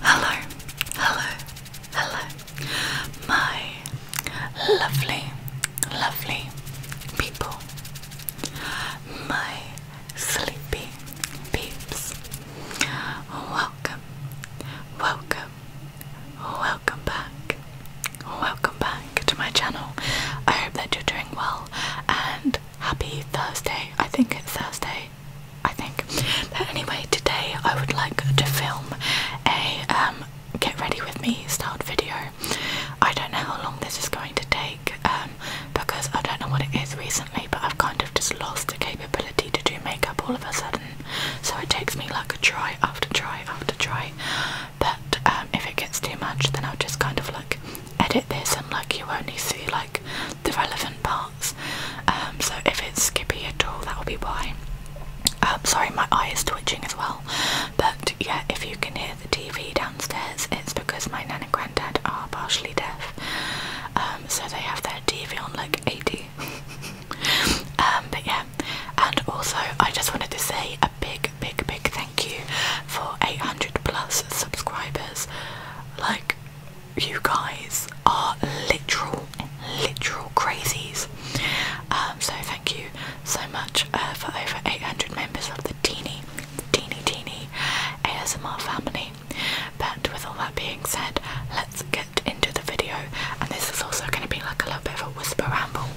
Hello, hello, hello, my lovely, lovely people, my sleepy peeps. Welcome, welcome, welcome back, welcome back to my channel. I hope that you're doing well and happy Thursday. I think it's Thursday I think. anyway, today I would like to film a um, get ready with me start video. I don't know how long this is going to take um, because I don't know what it is recently, but I've kind of just lost the capability to do makeup all of a sudden. So it takes me like a try after try after try. But um, if it gets too much, then I'll just kind of like edit this and like you only see like the relevant part um, so if it's skippy at all, that'll be why. Um, sorry, my eye is twitching as well. But yeah, if you can hear the TV downstairs, it's because my nan and granddad are partially deaf. Um, so they have their TV on like 80. um, but yeah, and also I just wanted to say a big, big, big thank you for 800 plus subscribers. Like, you guys are literal, literal crazies. Um, so thank you so much uh, for over 800 members of the teeny, teeny, teeny ASMR family. But with all that being said, let's get into the video. And this is also going to be like a little bit of a whisper ramble.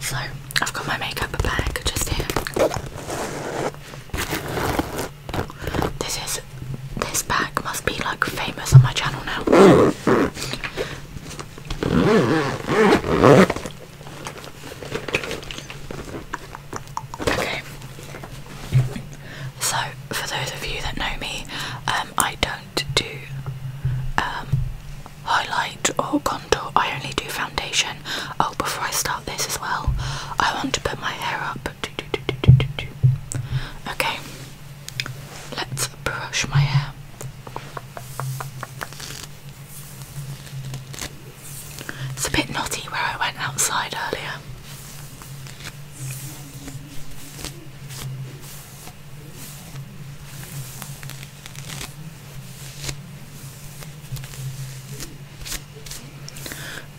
So I've got my makeup bag just here. This is this bag must be like famous on my channel now. Okay. So for those of you that know me, um, I don't do um, highlight or contour. I only do foundation. Oh, before I start this as well, I want to put my hair up. Okay, let's brush my hair. It's a bit knotty where I went outside earlier.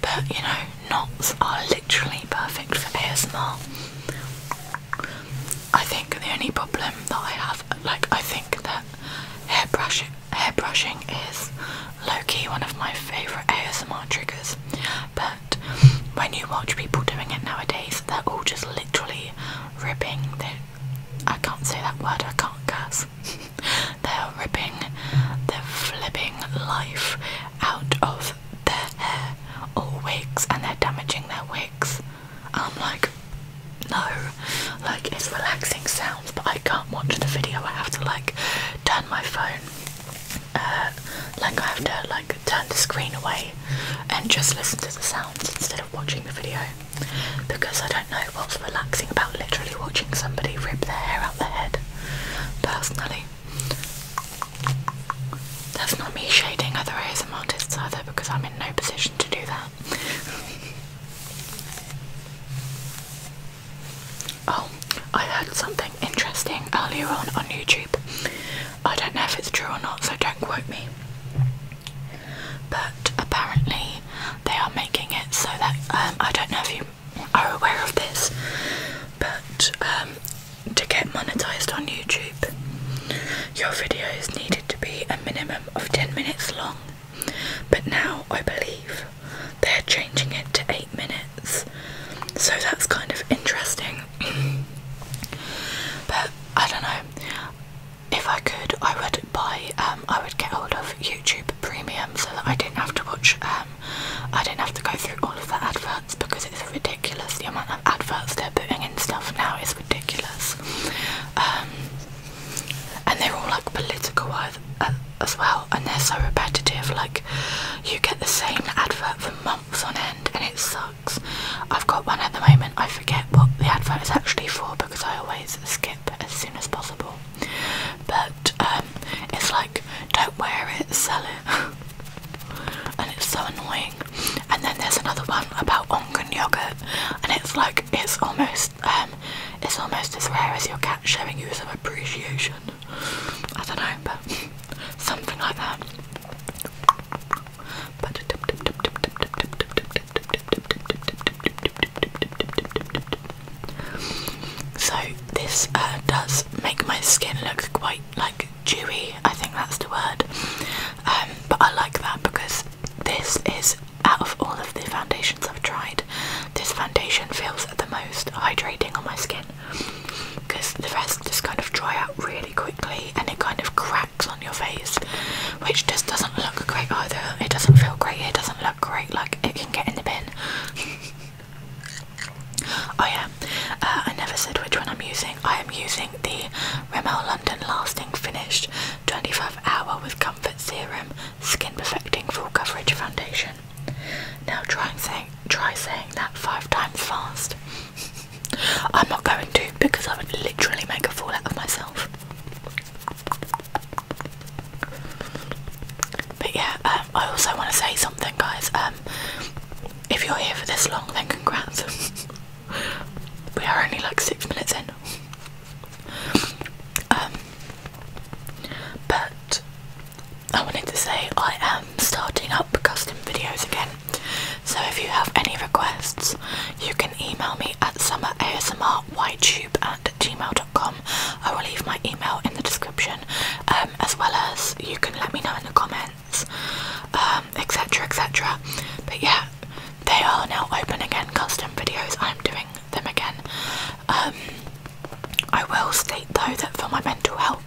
But you know, knots are literally perfect for ASMR. I think the only problem that I have, like, I think that hairbrushing, hairbrushing is low-key one of my favourite ASMR triggers. But when you watch people doing it nowadays, they're all just literally ripping their... I can't say that word, I can't curse. They're ripping, they're flipping life out of their hair all wigs and they're damaging their wigs. I'm like, no, like it's relaxing sounds, but I can't watch the video. I have to like turn my phone, uh, like I have to like turn the screen away and just listen to the sounds instead of watching the video because I don't I don't know what's relaxing about literally watching somebody rip their hair out their head. Personally, that's not me shading other ASM artists either because I'm in no position to do that. oh, I heard something interesting earlier on on YouTube. I don't know if it's true or not, so don't quote me. But apparently, they are making it so that um, I don't know if you are aware of this, but um, to get monetized on YouTube, your videos needed to be a minimum of 10 minutes long. But now I believe they're changing it to 8 minutes, so that's kind of interesting. but I don't know. If I could, I would buy, um, I would get hold of you. YouTube Premium so that I didn't have to watch, um, I didn't have to go through all of the adverts because it's ridiculous. The amount of adverts they're putting in stuff now is ridiculous. Um, and they're all like political uh, as well, and they're so repetitive. Like, you get the same advert for months on end, and it sucks. I've got one at the moment, I forget what the advert is actually for because I always skip as soon as possible but it's like don't wear it, sell it, and it's so annoying. And then there's another one about ongan yogurt, and it's like it's almost it's almost as rare as your cat showing you some appreciation. I don't know, something like that. So this uh, does make my skin look quite like dewy. I think that's the word. Um, but I like that because this is out of all of the foundations I've tried, this foundation feels the most hydrating on my skin because the rest just kind of dry out really quickly and it kind of cracks on your face, which just doesn't look great either. It doesn't feel great. It look great, like it can get in the bin. oh yeah, uh, I never said which one I'm using. I am using the Rimmel London Lasting Finished 25 Hour with Comfort Serum Skin Perfecting Full Coverage Foundation. Now try saying try saying that five times fast. I'm not going to because I would literally make a fool out of myself. But yeah, um, I also want to say something, guys. Um, if you're here for this long, then congrats. we are only like six minutes in. Um, but I wanted to say I am starting up custom videos again. So if you have any requests, you can email me at summerasmrytube at gmail I will leave my email in the description um, as well as you can let me know in the comments etc um, etc but yeah they are now open again custom videos I'm doing them again um, I will state though that for my mental health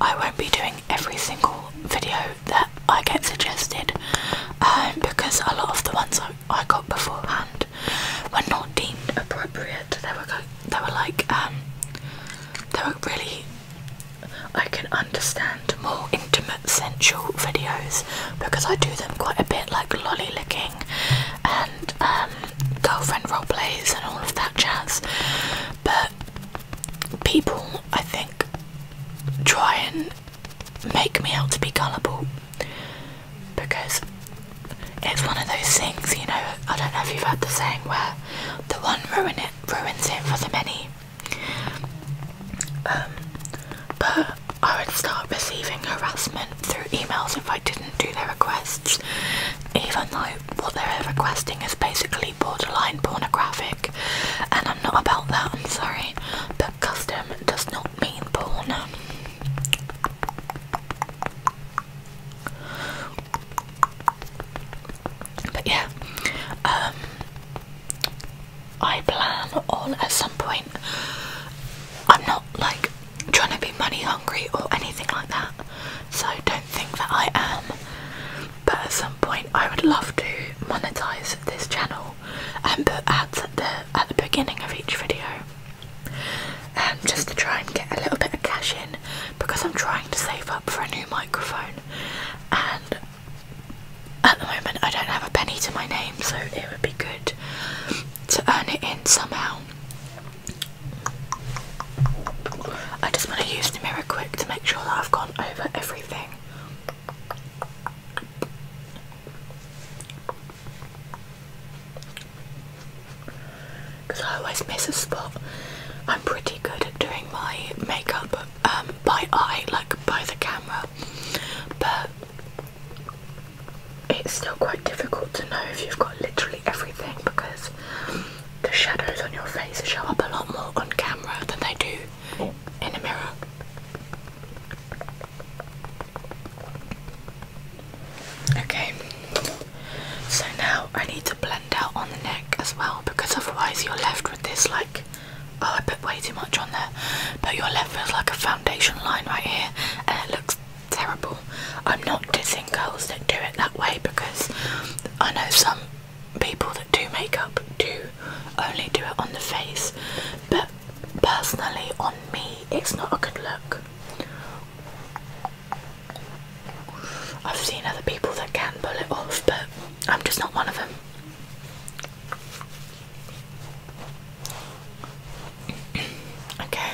I won't be doing every single video that I get suggested because a lot of the ones I I got beforehand were not deemed appropriate. They were like um, they were really I can understand more intimate sensual videos because I do them quite a bit like lolly licking and um, girlfriend role plays and all of that jazz. But people I think try and make me out to be gullible because it's one of those things, you know. I don't know if you've heard the saying where the one ruin it ruins it for the many. Um, but I would start receiving harassment through emails if I didn't do their requests, even though what they're requesting is basically borderline pornographic, and I'm not about that. I'm sorry, but custom does not mean porn. But yeah, um, I plan on at some point. I'm not like trying to be money hungry or anything like that, so don't think that I am. But at some point, I would love to monetize this channel and put ads at the at the beginning of each video, um, just to try and get a little bit of cash in because I'm trying to save up for a new microphone, and at the moment I don't have a penny to my name, so it would be good to earn it in somehow. I just want to use the mirror quick to make sure that I've gone over everything. Because I always miss a spot. I'm pretty good at doing my makeup um, by eye, like by the camera, but it's still quite difficult to know if you've got literally everything because the shadows on your face show up a lot more on camera than they do oh. in a mirror. Okay, so now I need to blend out on the neck as well because otherwise you're left with this like, oh I put way too much on there, but you're left with like a foundation line right here and it looks terrible. I'm not dissing girls that do it that way because I know some people that do makeup do only do it on the face, but personally, on me, it's not a good look. I've seen other people that can pull it off, but I'm just not one of them. okay.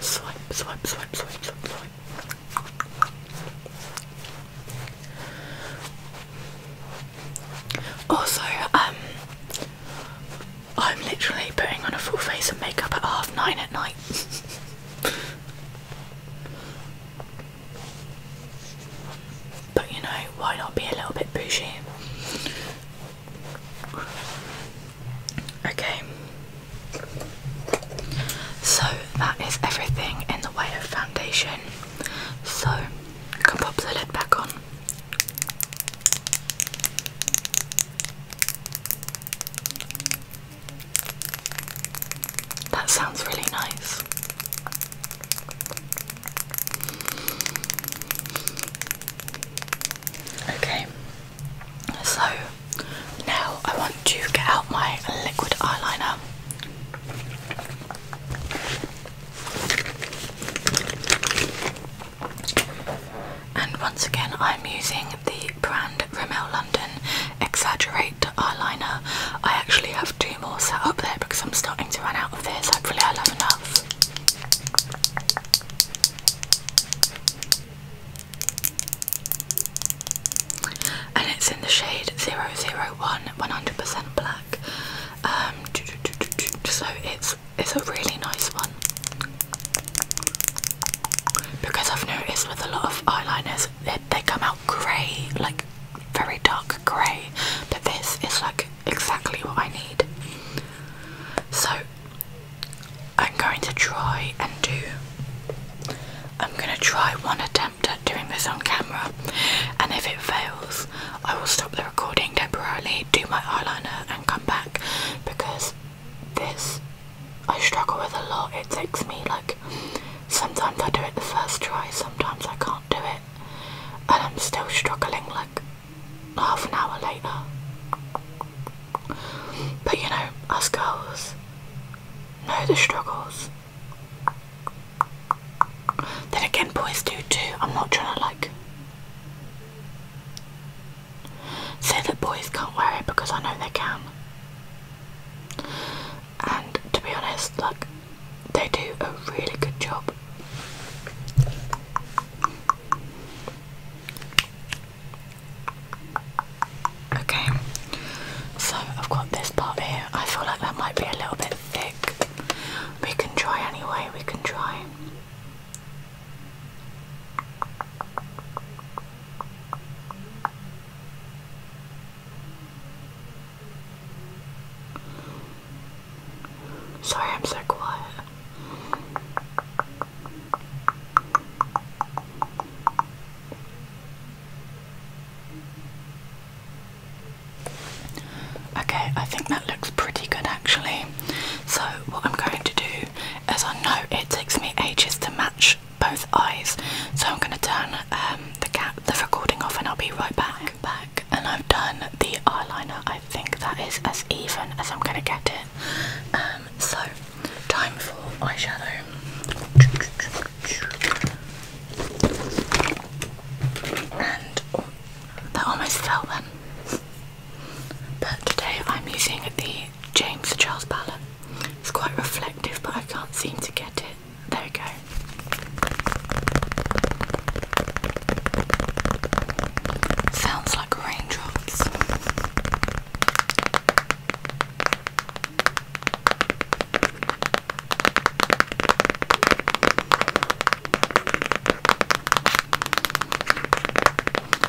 swipe, swipe, swipe, swipe, swipe. Also, um, I'm literally putting on a full face of makeup at half nine at night. but you know, why not be a little bit bougie? Okay, so that is everything in the way of foundation. So I can pop the lid back on. That sounds really nice. Okay, so now I want to get out my liquid eyeliner. And once again, I'm using the brand Rimmel London Exaggerate eyeliner. I actually have two more set up there because I'm starting to run out of this. Hopefully, I'll have enough. And it's in the shade 001 100% black. Um, so it's it's a really nice one because I've noticed with a lot of eyeliners they, come out grey, like very dark grey. But this is like exactly what I need. So I'm going to try and do. I'm gonna try one a day doing this on camera, and if it fails, I will stop the recording temporarily, do my eyeliner, and come back because this I struggle with a lot. It takes me like sometimes I do it the first try, sometimes I can't do it, and I'm still struggling like half an hour later. But you know, us girls know the struggles. Then again, boys do too. I'm not trying to like say that boys can't wear it because I know they can. And to be honest, look, they do a really good job. Okay, so I've got this part here. I feel like that might be a little bit thick. We can try anyway, we can try. Sorry, I'm so quiet. Okay, I think that looks pretty good actually. So, what I'm going to do is I know it takes me ages to match both eyes, so I'm going to turn um, the, recording off and I'll be right back. back. And I've done the eyeliner, I think that is as even as I'm going to get it. Um, so, time for eyeshadow. And oh, that almost fell then. But today I'm using the James Charles palette. It's quite reflective, but I can't seem to get it. There we go. Sounds like raindrops.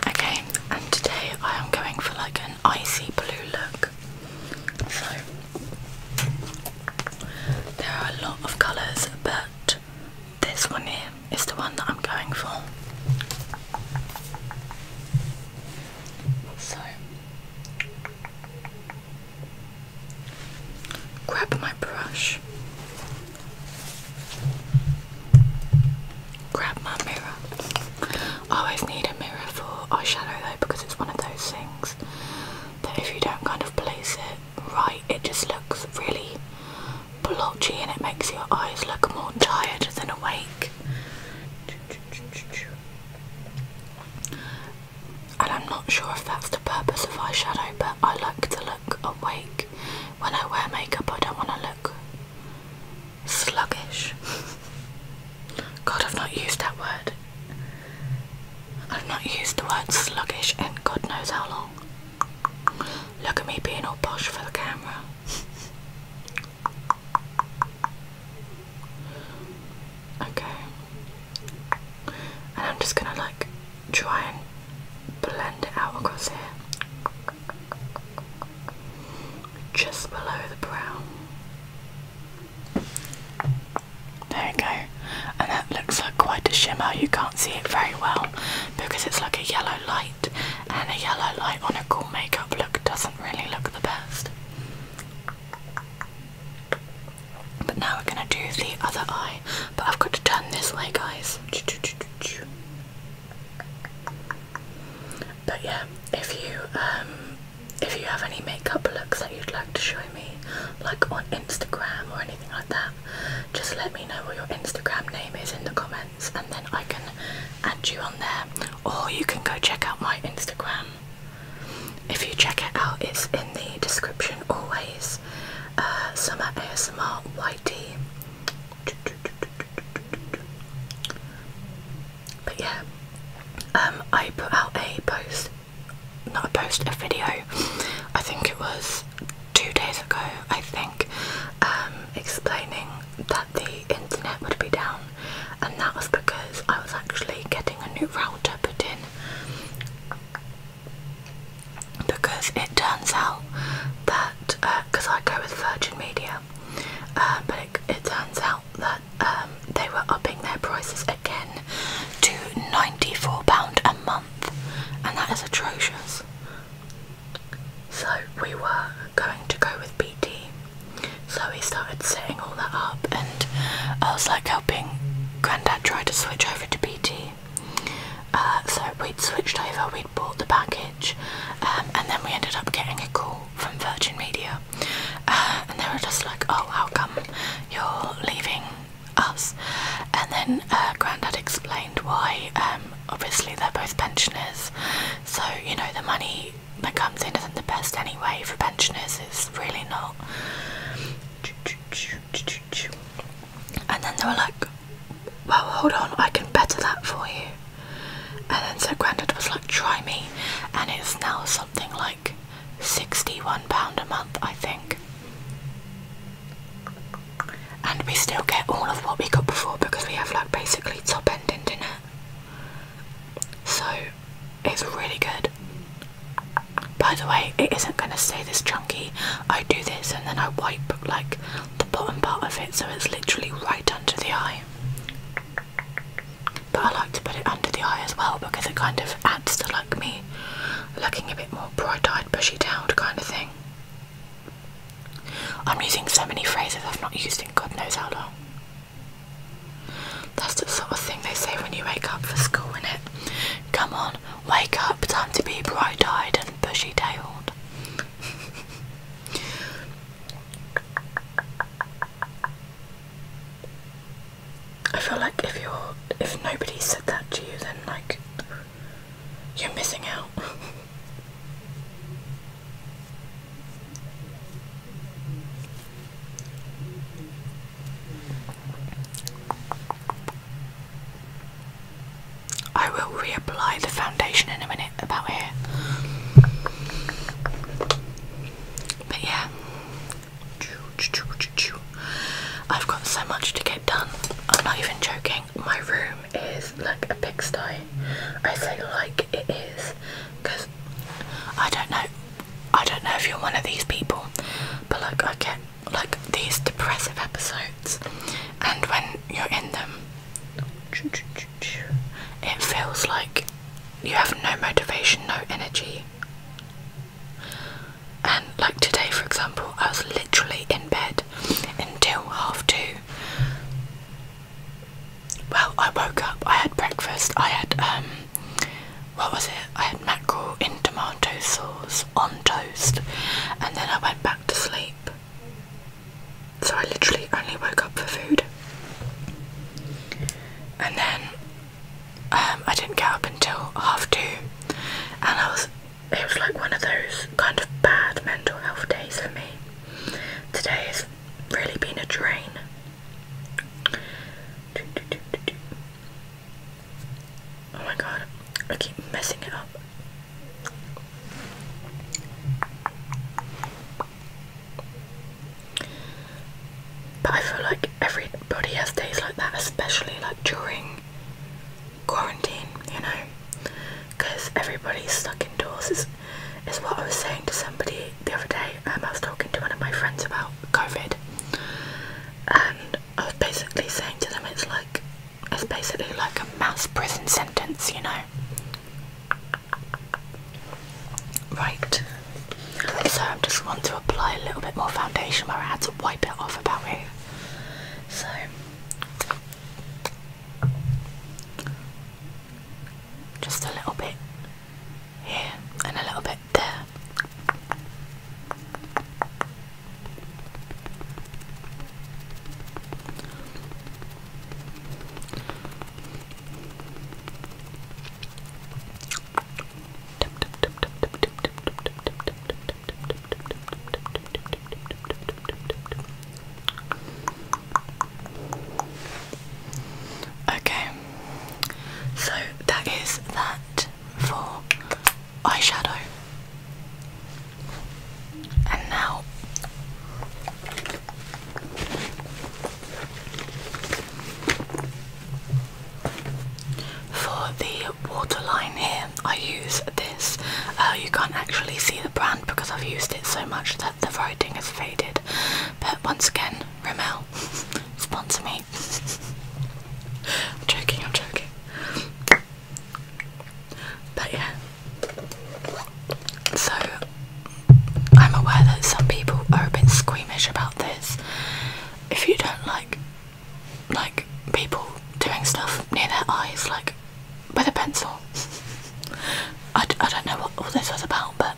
Okay, and today I am going for like an icy blue look. So there are a lot of colours, but this one here is the one that I'm going for. So Grab my brush. Grab my mirror. I always need a mirror for eyeshadow though because it's one of those things that if you don't kind of place it right, it just looks really blotchy and it makes your eyes look more tired than awake and I'm not sure if that's the purpose of eyeshadow, but I like to look awake. When I wear makeup, I don't want to look sluggish. God, I've not used that word. I've not used the word sluggish in God knows how long. Look at me being all posh for the camera. Okay and I'm just gonna like try and blend it out across here just below the brow. there we go and that looks like quite a shimmer you can't see it very well because it's like a yellow light and a yellow light on a cool makeup look doesn't really look the best but now we're gonna do the other eye. But I've got to turn this way, guys. But yeah, if you um, if you have any makeup looks that you'd like to show me, like on Instagram or anything like that, just let me know what your Instagram name is in the comments, and then I can add you on there. Or you can go check out my Instagram. If you check it out, it's in the description always. Uh, Summer ASMR YT. But yeah, um, I put out a post, not a post, a video. I think it was two days ago. I think um, explaining that the internet would be down and that was because I was actually getting a new router put in. Because it turns out that, because uh, I go with Virgin Media, uh, but it, turns out that um, they were upping their prices again to £94 a month, and that is atrocious. So we were going to go with BT, so he started setting all that up, and I was like helping Grandad try to switch over to BT. Uh, so we'd switched over, we'd bought the package, um, and then we ended up getting a call from Virgin Media, uh, and they were just like, "Oh, how come you're leaving us?" And then uh, Grandad explained why. Um, obviously, they're both pensioners, so you know the money that comes in isn't the best anyway for pensioners, it's really not. And then they were like, well, hold on, I can better that for you. And then so Grandad was like, try me. And it's now something like £61 a month, I think. And we still get all of what we got before because we have like basically top end internet. So it's really good. By the way, it isn't going to stay this chunky. I do this and then I wipe like the bottom part of it so it's literally right under the eye. But I like to put it under the eye as well because it kind of adds to like me looking a bit more bright eyed, bushy tailed kind of thing. I'm using so many phrases I've not used in God knows how long. That's the sort of thing they say when you wake up for school, isn't it? Come on, wake up, time to be bright eyed and bushy tailed. I feel like if you're if nobody said that to you then like you're missing out. I will reapply the foundation in a minute about here. But yeah. I've got so much to get done. I'm not even joking. My room is like a pigsty. I say like it is because I don't know. I don't know if you're one of these people, but like I get like these depressive episodes, and when you're in them, it feels like you have no motivation, no energy. And like today, for example, I was literally in bed until half two, well, I woke up, I had breakfast, I had, um, what was it? I had mackerel in tomato sauce on toast, and then I went back to sleep. So I literally only woke up for food. And then um, I didn't get up until half two, and I was, it was like one of those kind of bad mental health days for me. Today has really been a drain. Oh my god, I keep messing it up. But I feel like everybody has days like that, especially like during quarantine, you know? Because everybody's stuck indoors, is what I was saying to somebody the other day. Um, I was talking to one of my friends about COVID, and I was basically saying to them, it's like it's basically like a mass prison sentence, you know. Right. So I am just want to apply a little bit more foundation where I had to wipe it off about it. So. Just a little bit here and a little bit there. Okay, so that is that for eyeshadow. And now for the waterline here, I use this. Uh, you can't actually see the brand because I've used it so much that the writing has faded, once again, Rimmel, sponsor me. I'm joking, I'm joking. But yeah. So, I'm aware that some people are a bit squeamish about this. If you don't like, like, people doing stuff near their eyes, like, with a pencil. I d I don't know what all this was about, but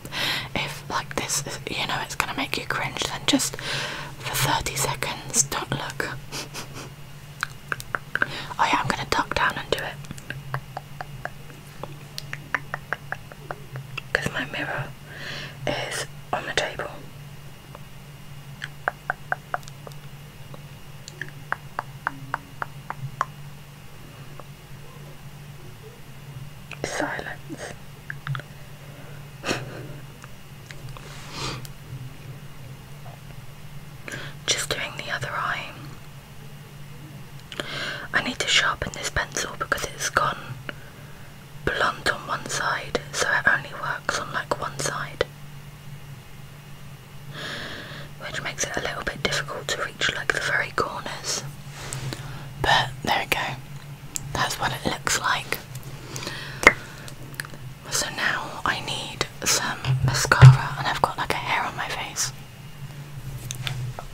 if like this you know it's gonna make you cringe then just for 30 seconds don't look oh yeah i'm gonna duck down and do it because my mirror is on the table Silence. Just doing the other eye. I need to sharpen this pencil because it's gone blunt on one side, so it only works on like one side. Which makes it a little bit difficult to like the very corners. But there we go. That's what it looks like. So now I need some mascara and I've got like a hair on my face.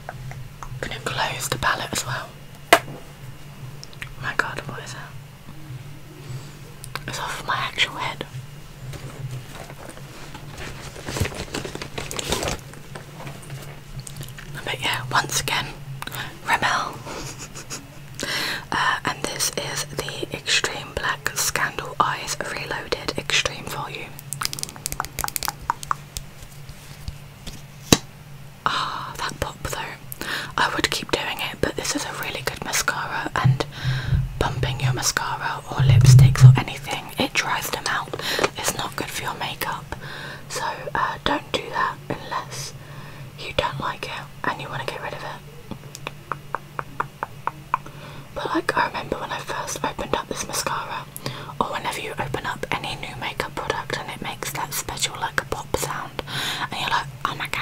I'm gonna close the palette as well. my god, what is that? It's off my actual head. But yeah, once again, Rimmel. Uh, and this is the Extreme Black Scandal Eyes Reloaded Extreme Volume. Ah, that pop though. I would keep doing it, but this is a really good mascara, and bumping your mascara or lipsticks or anything, it dries them out. It's not good for your makeup. So uh, don't do that unless you don't like it and you want to get rid of it. But like I remember when I first opened up this mascara or whenever you open up any new makeup product and it makes that special like a pop sound and you're like, oh my god.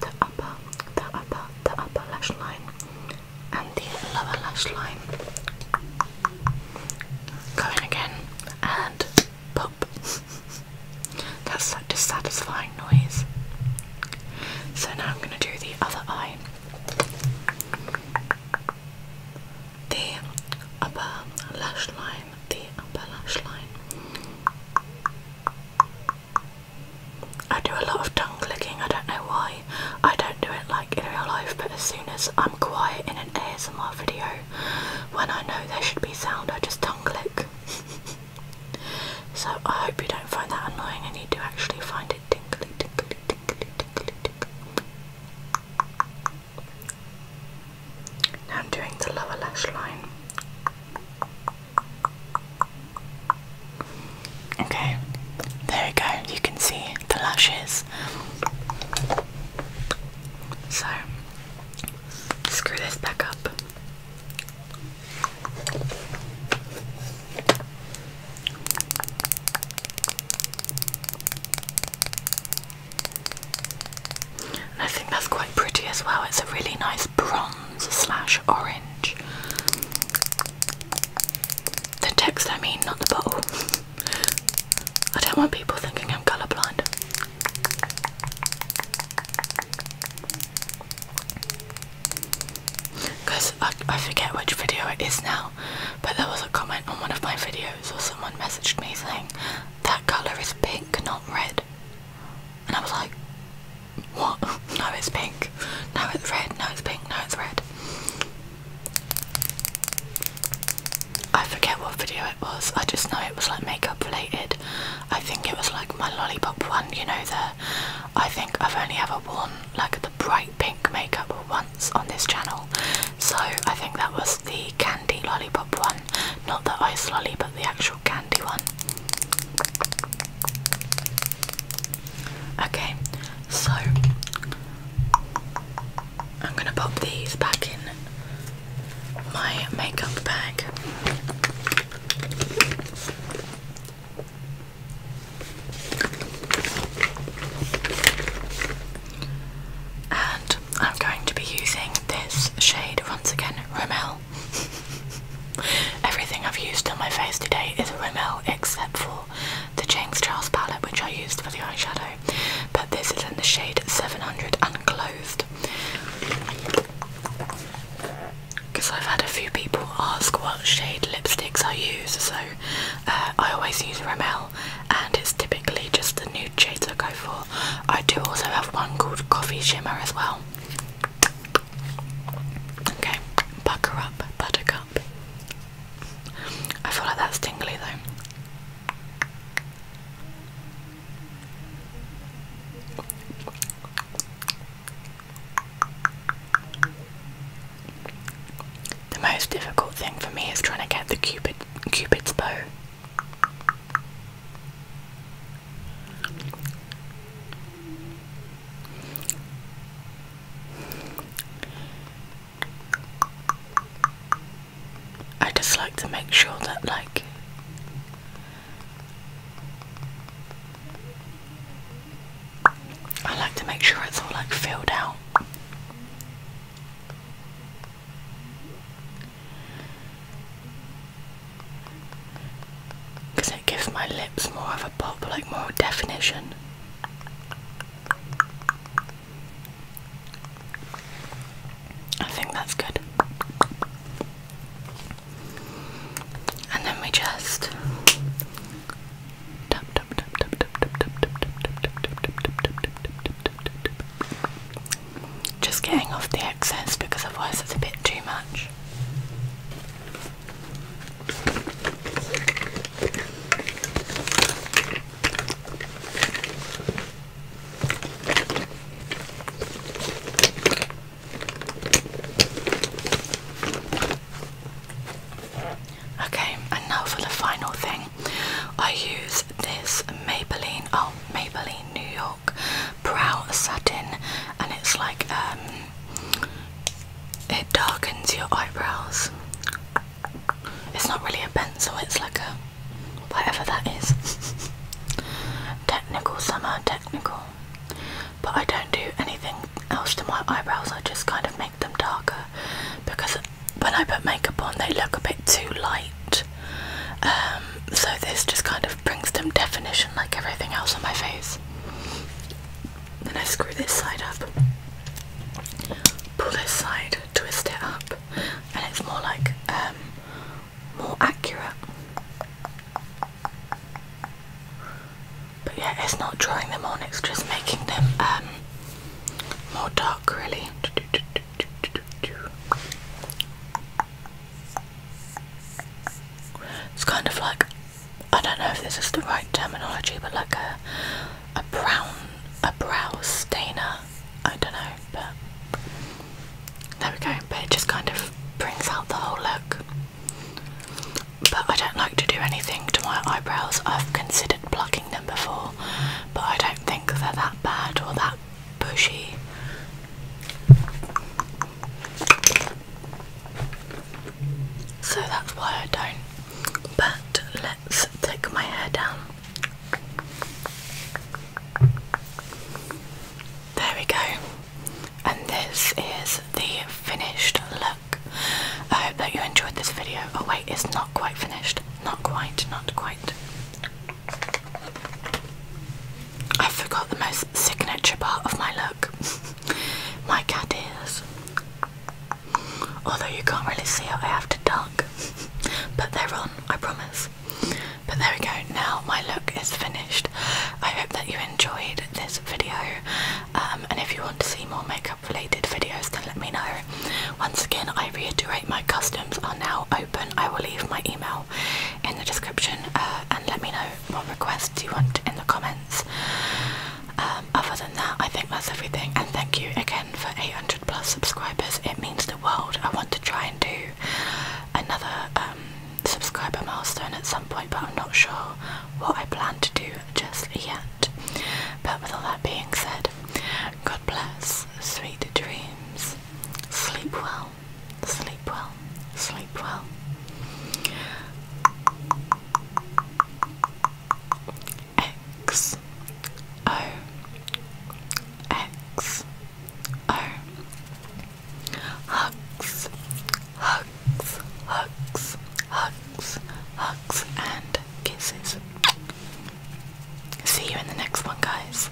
the upper, the upper, the upper lash line and the lower lash line. Go again and pop. That's such a satisfying noise. So now I'm going to do the other eye. The upper lash line, the upper lash line. I do a lot of tongue clicking, I don't know why. I don't do it like in real life, but as soon as I'm quiet in an ASMR video, when I know there should be sound, I just tongue click. so I hope you don't find that annoying and you do actually find it tinkly, tinkly, tinkly, tinkly, tinkly. Now I'm doing the lower lash line. Okay, there we go, you can see the lashes. So, screw this back up. I think that's quite pretty as well. It's a really nice bronze slash orange. The text, I mean, not the bottle. I don't want people thinking I'm colourblind. Because I forget which video it is now, but there was a comment on one of my videos, or someone messaged me saying, That colour is pink, not red. And I was like, what? no, it's pink. No, it's red. No, it's pink. No, it's red. I forget what video it was. I just know it was like makeup related. I think it was like my lollipop one, you know, the. I think I've only ever worn like the bright pink makeup once on this channel. So I think that was the candy lollipop one. Not the ice lolly, but the actual candy one. Okay, so I'm gonna pop these back in my makeup bag. And I'm going to be using this shade once again, Romel. Everything I've used on my face today is a Rimmel except for the James Charles palette which I used for the eyeshadow. But this is in the shade 700 Unclothed. Because I've had a few people ask what shade lipsticks I use, so uh, I always use Rimmel and it's typically just the nude shades I go for. I do also have one called Coffee Shimmer as well. Okay, bucker up, buttercup. I feel like that's tingly though. The most difficult thing for me is trying to get the cupid cupid's bow. I just like to make sure that, like, I like to make sure it's all like filled out because it gives my lips more of a pop, like more definition. I think that's good. And then we just just getting off the excess because otherwise it's a bit too much. Okay, and now for the final thing. I use this Maybelline, oh Maybelline New York silk brow satin, and it's like um, it darkens your eyebrows. It's not really a pencil, it's like a whatever that is. technical summer, technical. But I don't do anything else to my eyebrows, I just kind of make them darker because when I put makeup on, they look a bit too light. Um, so this just kind of brings them definition like everything else on my face. Then I screw this side up, pull this side, twist it up, and it's more like um, more accurate. But yeah, it's not drawing them on, it's just making them um, more dark, really. It's kind of like I don't know if this is the right terminology, but like a a brown a brow stainer. I don't know, but there we go. But it just kind of brings out the whole look. But I don't like to do anything to my eyebrows. I've considered plucking them before, but I don't think they're that bad or that bushy. So that's why I don't. But let's take my hair down. There we go. And this is the finished look. I hope that you enjoyed this video. Oh wait, it's not quite finished. Not quite, not quite. I forgot the most signature part of my look my cat ears. Although you can't really see it, I have to duck. but they're on, I promise. But there we go, now my look is finished. I hope that you enjoyed this video. Um, and if you want to see more makeup related videos, then let me know. Once again, I reiterate my customs are now open. I will leave my email in the description uh, and let me know what requests you want in the comments. Um, other than that, I think that's everything. And thank you again for 800 plus subscribers. It means the world. I want to try and do another um, subscriber milestone at some point, but I'm not sure what I plan to do just yet. But with all that being said, God bless, sweet dreams, sleep well, sleep well, sleep well. X O X O Hugs, hugs, hugs, hugs, hugs, and kisses. See you in the next one, guys.